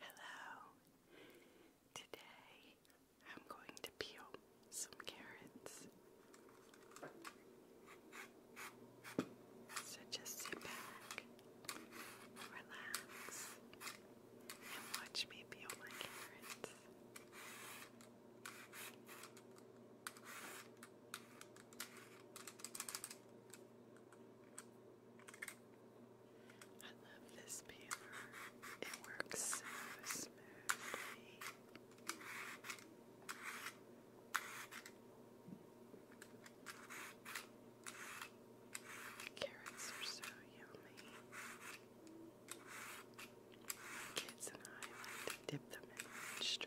Hello. Today I'm going to peel some carrots. So just sit back, relax, and watch me peel my carrots. I love this paper. It works so smoothly. Carrots are so yummy. Kids and I like to dip them in dressing.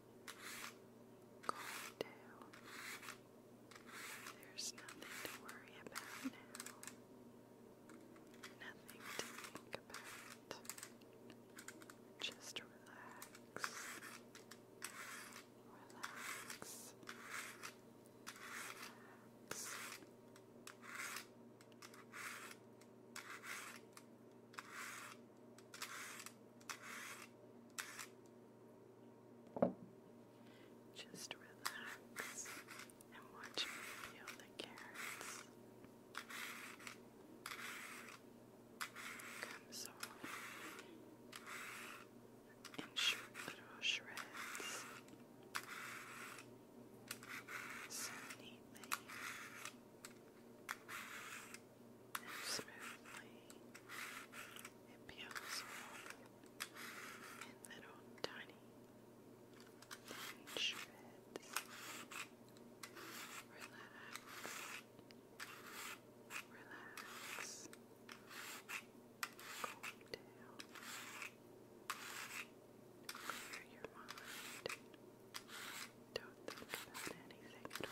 calm down. There's nothing to worry about Nothing to think about. Just Relax. Relax. Just relax and watch me peel the carrots. Come softly in little shreds. So neatly smoothly. It peels off in little tiny thin shreds. Relax. Relax. Calm down. Clear your mind. Don't think about anything at all.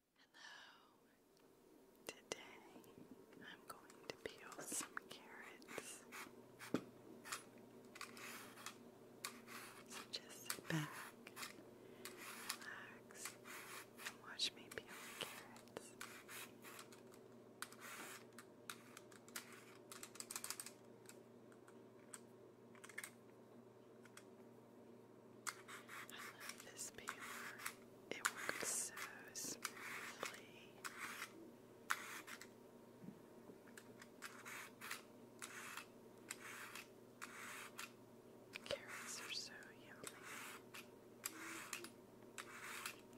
Hello. Today I'm going to peel some carrots. So just sit back, relax, and watch me peel carrots. I love this paper. It works so smoothly. Carrots are so yummy.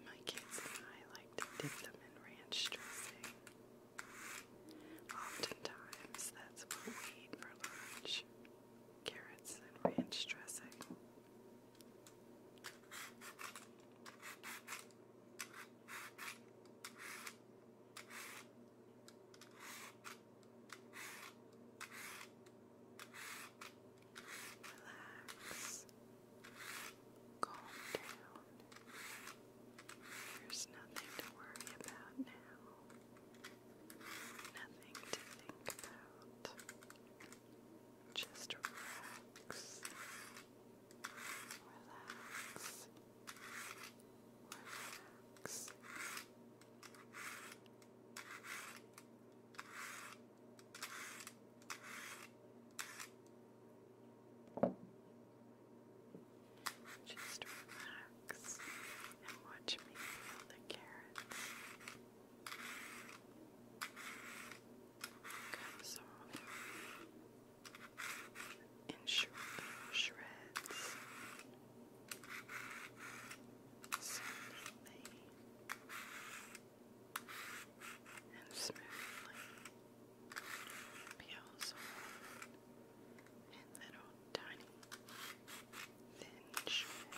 My kids and I like to dip them in ranch dressing. Oftentimes, that's what we eat for lunch carrots and ranch dressing. Relax. Calm down. There's nothing to worry about now. Nothing to think about. Just relax. Relax. Relax. Just relax watch me peel the carrots. Got some in shreds. Softly and smoothly peels off little tiny thin shreds.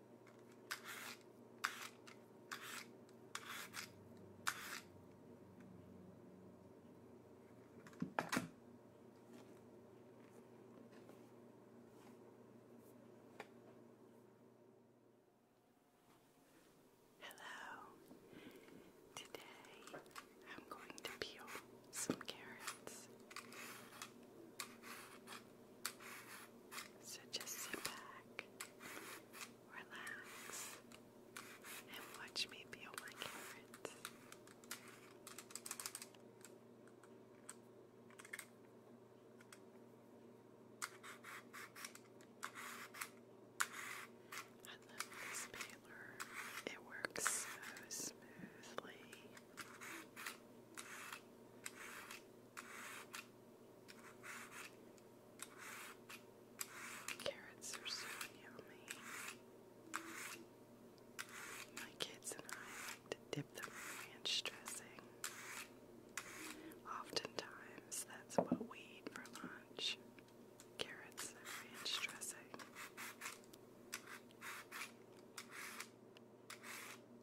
Hello. Today I'm going to peel some carrots. So just sit back, relax, and watch me peel my carrots. I love this peeler. It works so smoothly. Carrots are so yummy. My kids and I like to dip them in ranch dressing. Oftentimes, that's what we eat for lunch carrots and ranch dressing. Relax.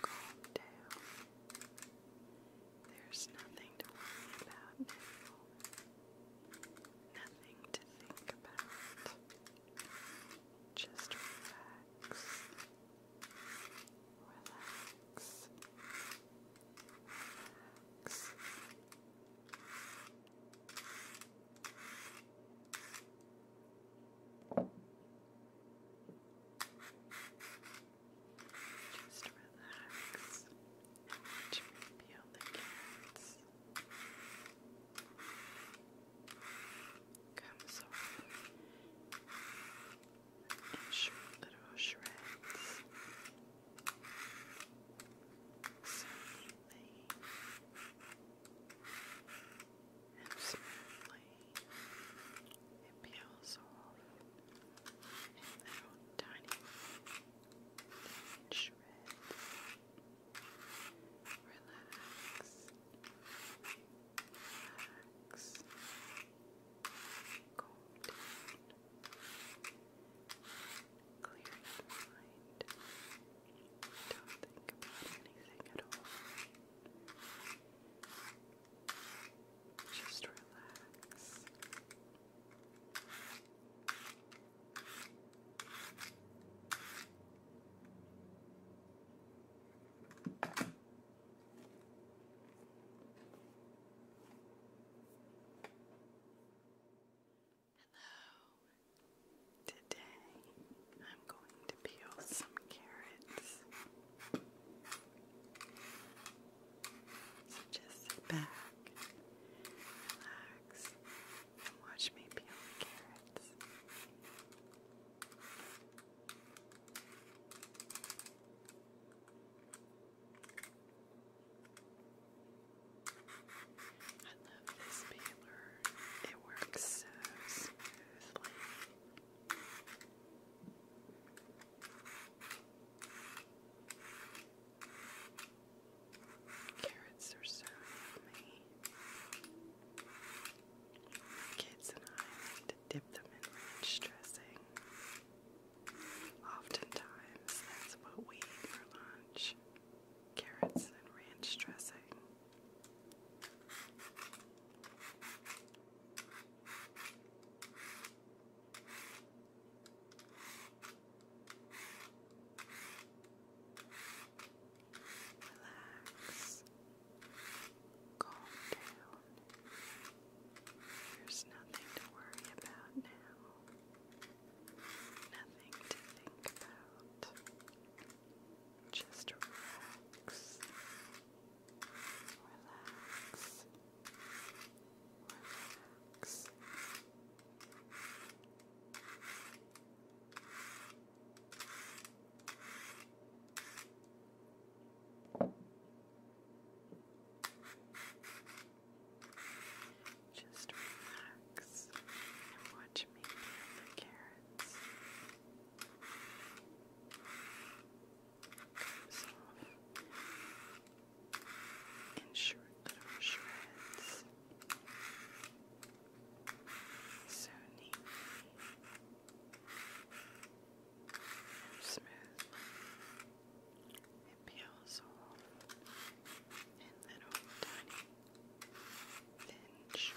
Calm down. There's nothing to worry about Nothing to think about. Just Relax. Relax. Just relax and the carrots. Comes off and sh little shreds so and smoothly. It peels off in tiny shreds. Relax. Relax. Go down. Clear your mind. Don't think about anything at all. Just relax. Hello. Today I'm going to peel some carrots. So just sit back, relax, and watch me peel the carrots. I love this peeler. It works so smoothly. Carrots are so yummy. My kids and I like to dip them in ranch dressing. Oftentimes, that's what we eat for lunch carrots and ranch dressing. Relax. Calm down. There's nothing to worry about now. Nothing to think about. Just relax. Relax. Relax. Just relax and watch me peel carrots. Comes off little shreds. So neatly and it peels off little tiny thin Relax, relax,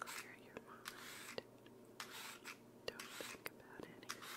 clear your mind. Don't think about anything